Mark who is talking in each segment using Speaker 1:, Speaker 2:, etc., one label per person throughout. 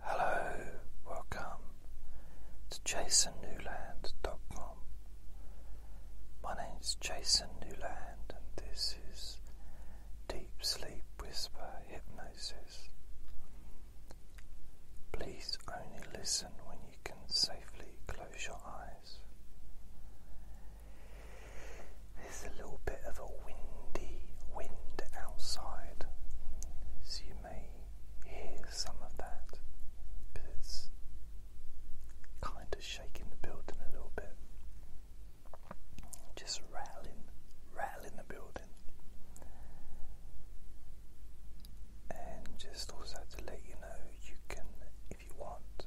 Speaker 1: Hello, welcome to jasonnewland.com. My name is Jason Newland, and this is Deep Sleep Whisper Hypnosis. Please only listen when you can safely close your eyes. There's a little bit of of a windy wind outside, so you may hear some of that because it's kind of shaking the building a little bit, just rattling, rattling the building, and just also to let you know you can, if you want,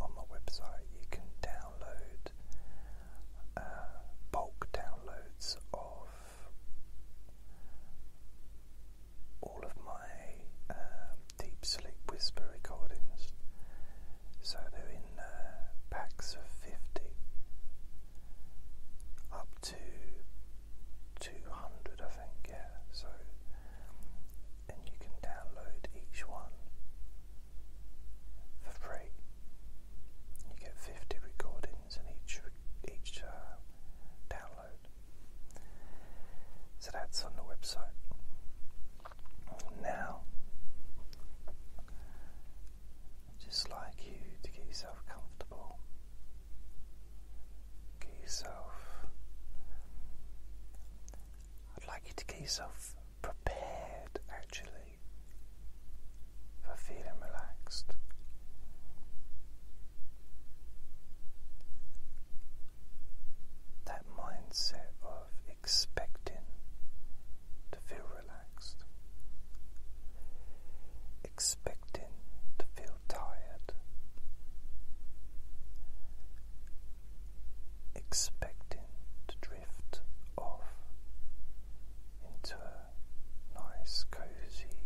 Speaker 1: on my website you can download. Uh, bulk downloads of all of my um, Deep Sleep Whisper recordings. So they're in uh, packs of 50 up to 200, I think, yeah. So, and you can download each one for free. You get 50 recordings in each each uh, download. So that's on the website. Now, just like you to get yourself comfortable. Get yourself. I'd like you to get yourself prepared actually body for feeling relaxed. That mindset of expecting to feel relaxed, expecting to feel tired, expecting to drift off into nice, cozy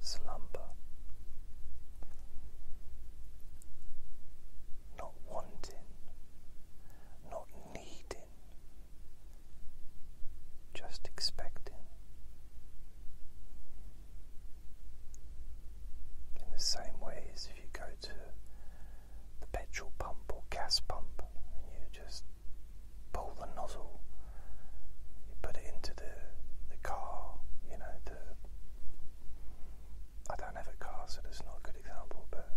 Speaker 1: slumber, not wanting, not needing, just expecting. In the same way as if you go to the petrol pump or gas pump and you just pull the nozzle, you put it into the the car, you know, I don't have a car so that's not a good example, but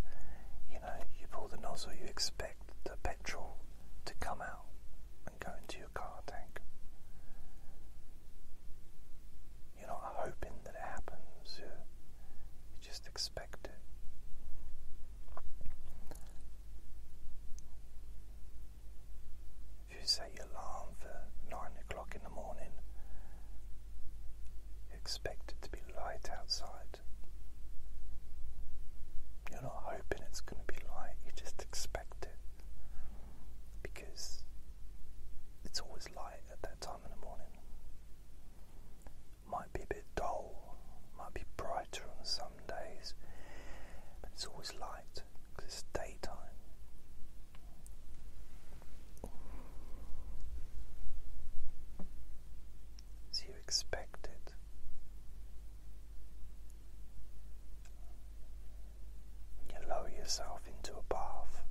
Speaker 1: you know, you pull the nozzle, you expect the petrol to come out and go into your car tank. You're not hoping that it happens, you just expect it. If you set your alarm for nine o'clock in the morning, you expect it to be light outside. You're not hoping it's going to be light, you just expect it because it's always light at that time in the morning might be a bit dull, might be brighter on some days, but it's always light because it's daytime. So you expect it. You lower yourself into a bath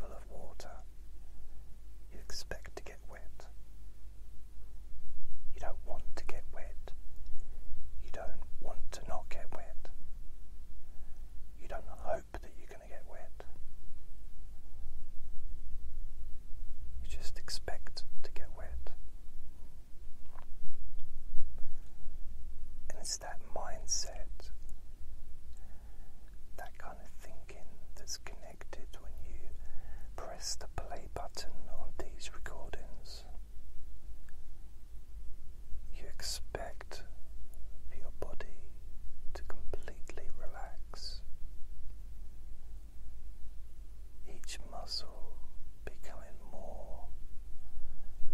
Speaker 1: full of water. You expect to get you don't want to get wet. You don't want to not get wet. You don't hope that you're going to get wet. You just expect to get wet. And it's that mindset, that kind of thinking that's connected when you press the play button on these recordings. You expect your body to completely relax, each muscle becoming more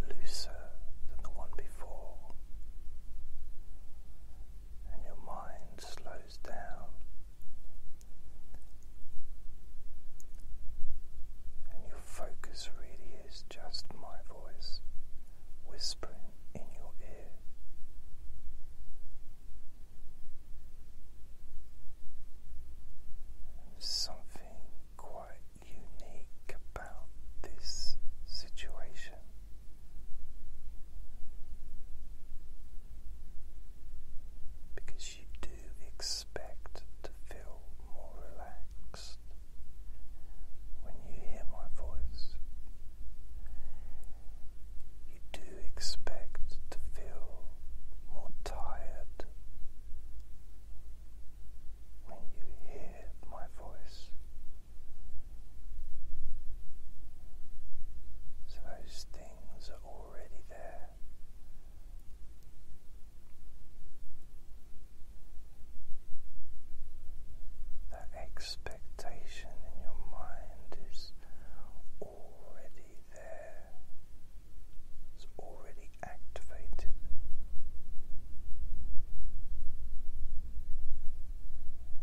Speaker 1: looser than the one before, and your mind slows down and your focus really is just my voice whispering in your ear. something quite unique about this situation. Because you do expect to feel more relaxed when you hear my voice. You do expect to feel more tired when you hear my voice. those things that expectation in your mind is already there, it's already activated.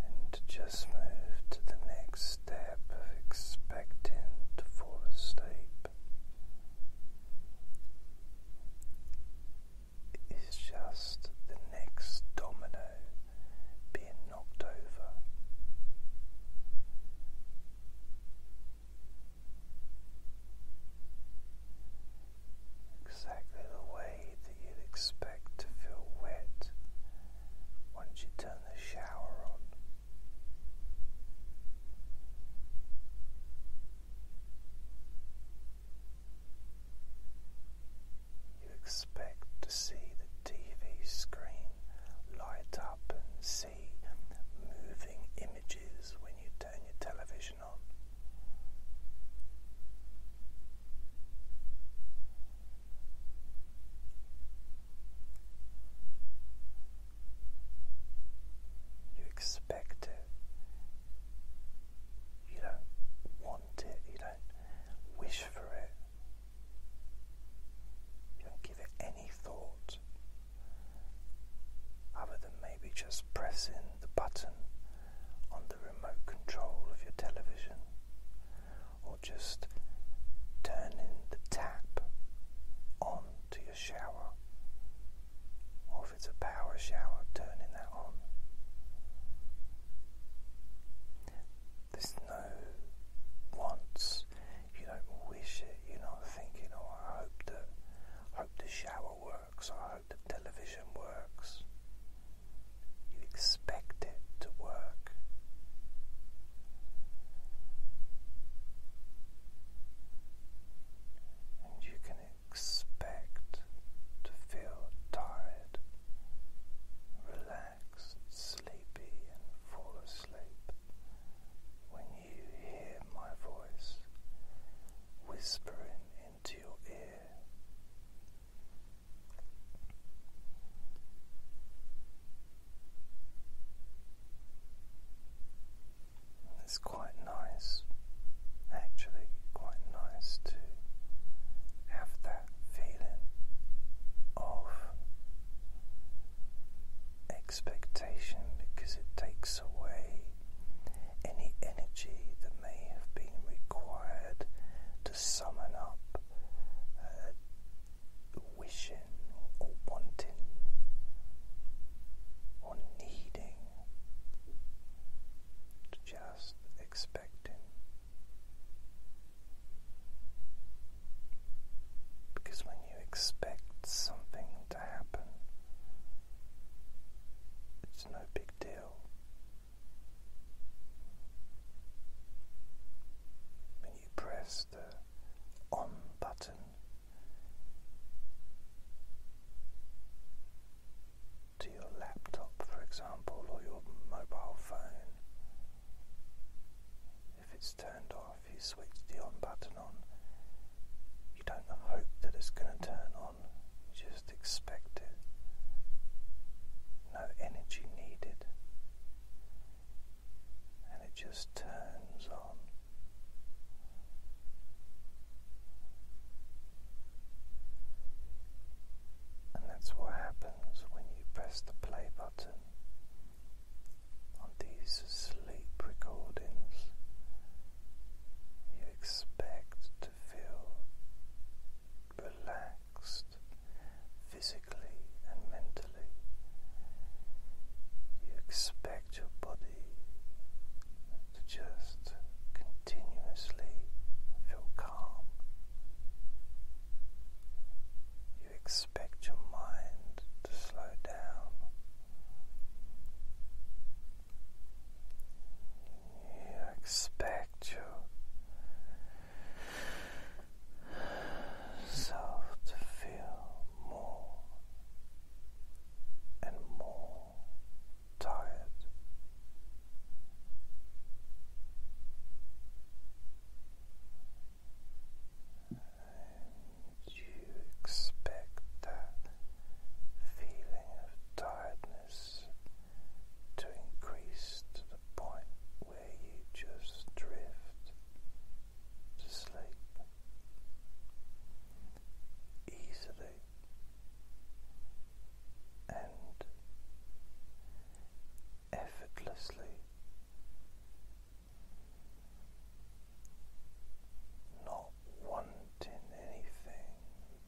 Speaker 1: And to just move to the next step of expecting to fall asleep. It's just the next domino being knocked over. Exactly the way that you'd expect to feel wet why don't you turn the shower on. You expect to see the TV screen light up and see moving images when you turn your television on. You expect it. You don't want it. You don't wish for it. You don't give it any thought other than maybe just pressing the button on the remote control of your television you're just turning the tap on to your shower, or if it's a power shower, turning that on. There's no wants. You don't wish it. You're not thinking, "Oh, hope that, hope the shower works. I hope the television works." You expect it to work. And you can expect to feel tired, relaxed, sleepy, and fall asleep when you hear my voice whispering into your ear. It's quite nice, actually, quite nice to have that feeling of expectation because it takes away any energy that may have been required to summon up. Uh, wishing or wanting or needing, just expecting. Because when you expect something to happen, it's no big deal. When you press the on button to your laptop, for example, or your mobile phone. If it's turned off, you switch the on button on. You don't hope that it's going to turn on, you just expect it. No energy needed and it just turns on. And that's what happens when you press the play button on these sleep recordings. You expect to feel relaxed, physically and mentally. You expect your body to just continuously feel calm. You expect your mind to slow down. You expect your self to feel more and more tired. And you expect that feeling of tiredness to increase to the point where you just drift to sleep easily and effortlessly, not wanting anything,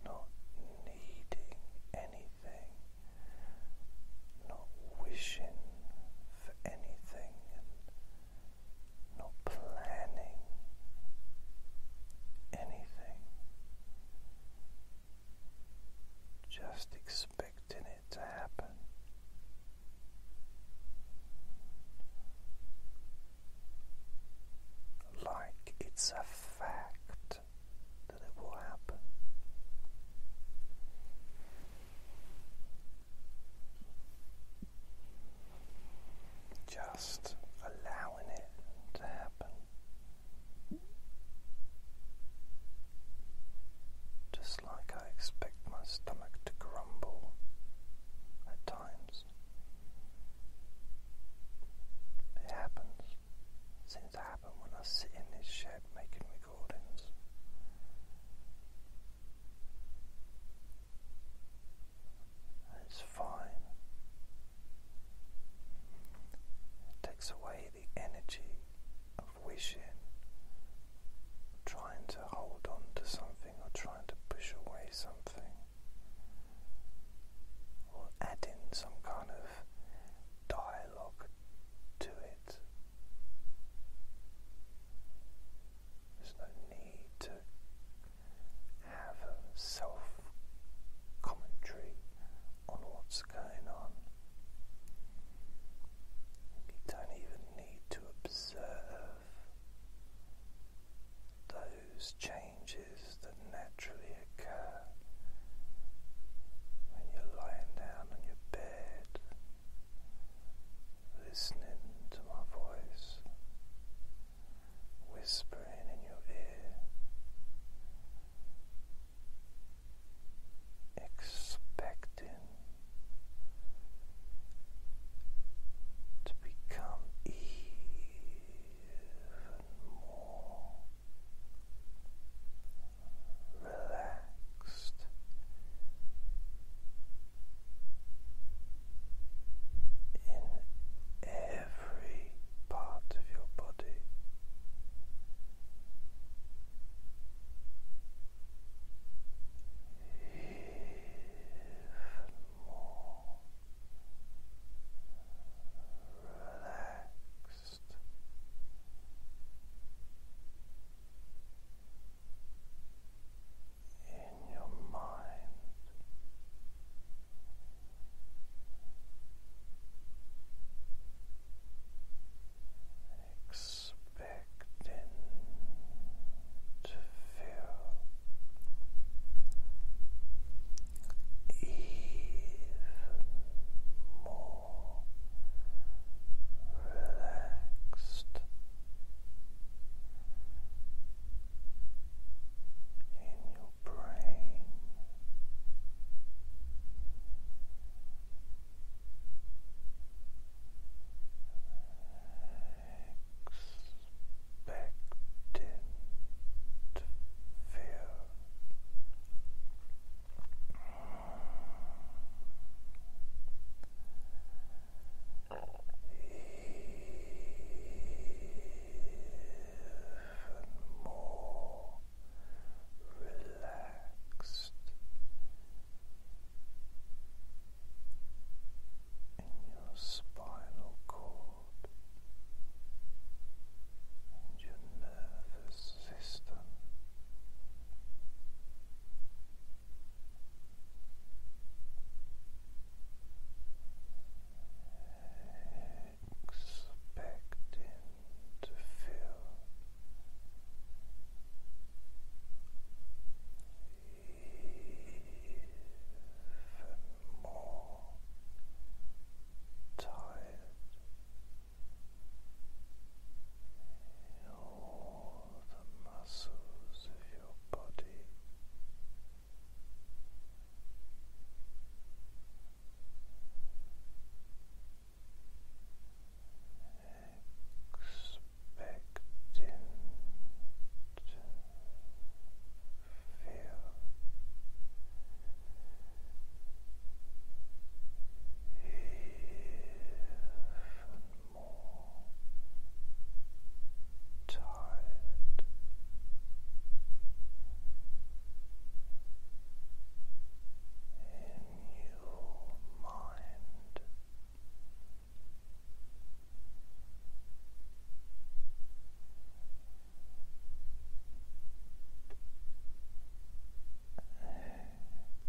Speaker 1: not needing anything, not wishing for anything not planning anything, just expecting it to happen. Like it's a fact that it will happen. Just allowing it to happen. Just like I expect my stomach to grumble at times. It happens. seems to happen when I sit in this shed making it's fine. It takes away the energy of wishing, trying to hold on to something or trying to push away something. Or add in some kind of dialogue to it. There's no need to have a self commentary on what's going on. You don't even need to observe those changes that naturally occur when you're lying down on your bed listening to my voice, whispering in your ear, expecting to become even more. Relaxed relaxed. In every part of your body, even more relaxed in your mind. Expecting to feel even more relaxed. In your brain, expecting to even more relaxed in your spinal cord and your nervous system expecting to feel even more tired all the muscles of your body. Expecting to feel more tired. In your mind,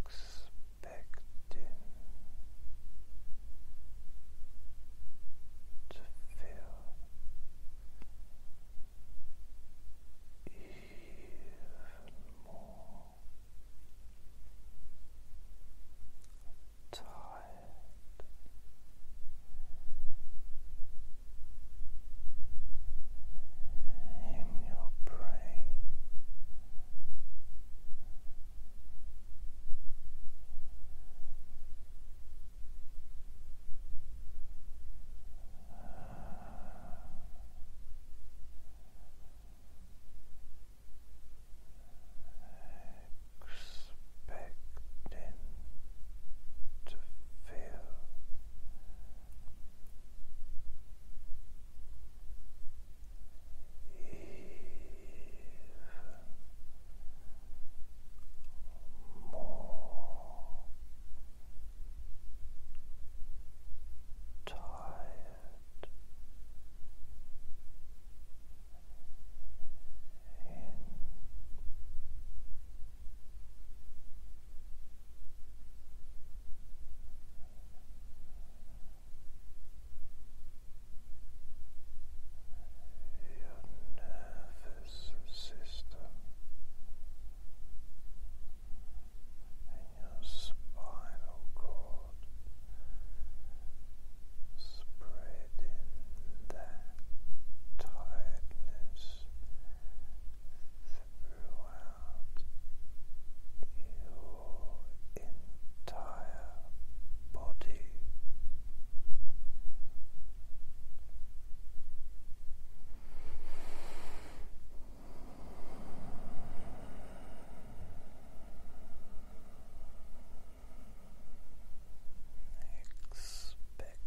Speaker 1: expanding expecting to feel even more tired. In your brain Expecting to feel in your nervous system and your spinal cord spreading that tightness throughout your entire body. Expecting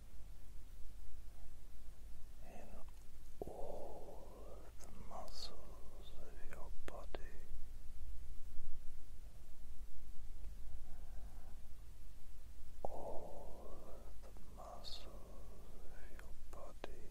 Speaker 1: in all of the muscles of your body. All of the muscles of your body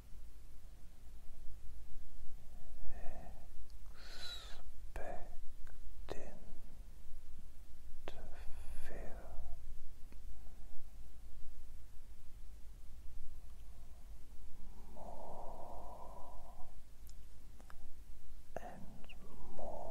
Speaker 1: expecting to feel more and more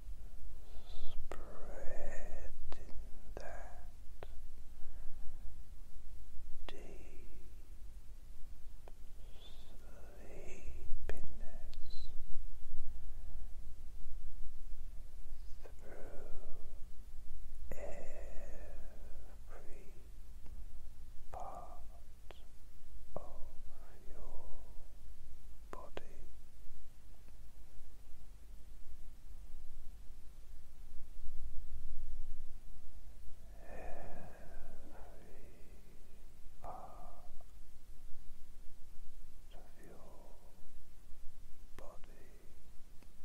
Speaker 1: spreading that deep sleepiness through every part of your body. Every part of your body sleeps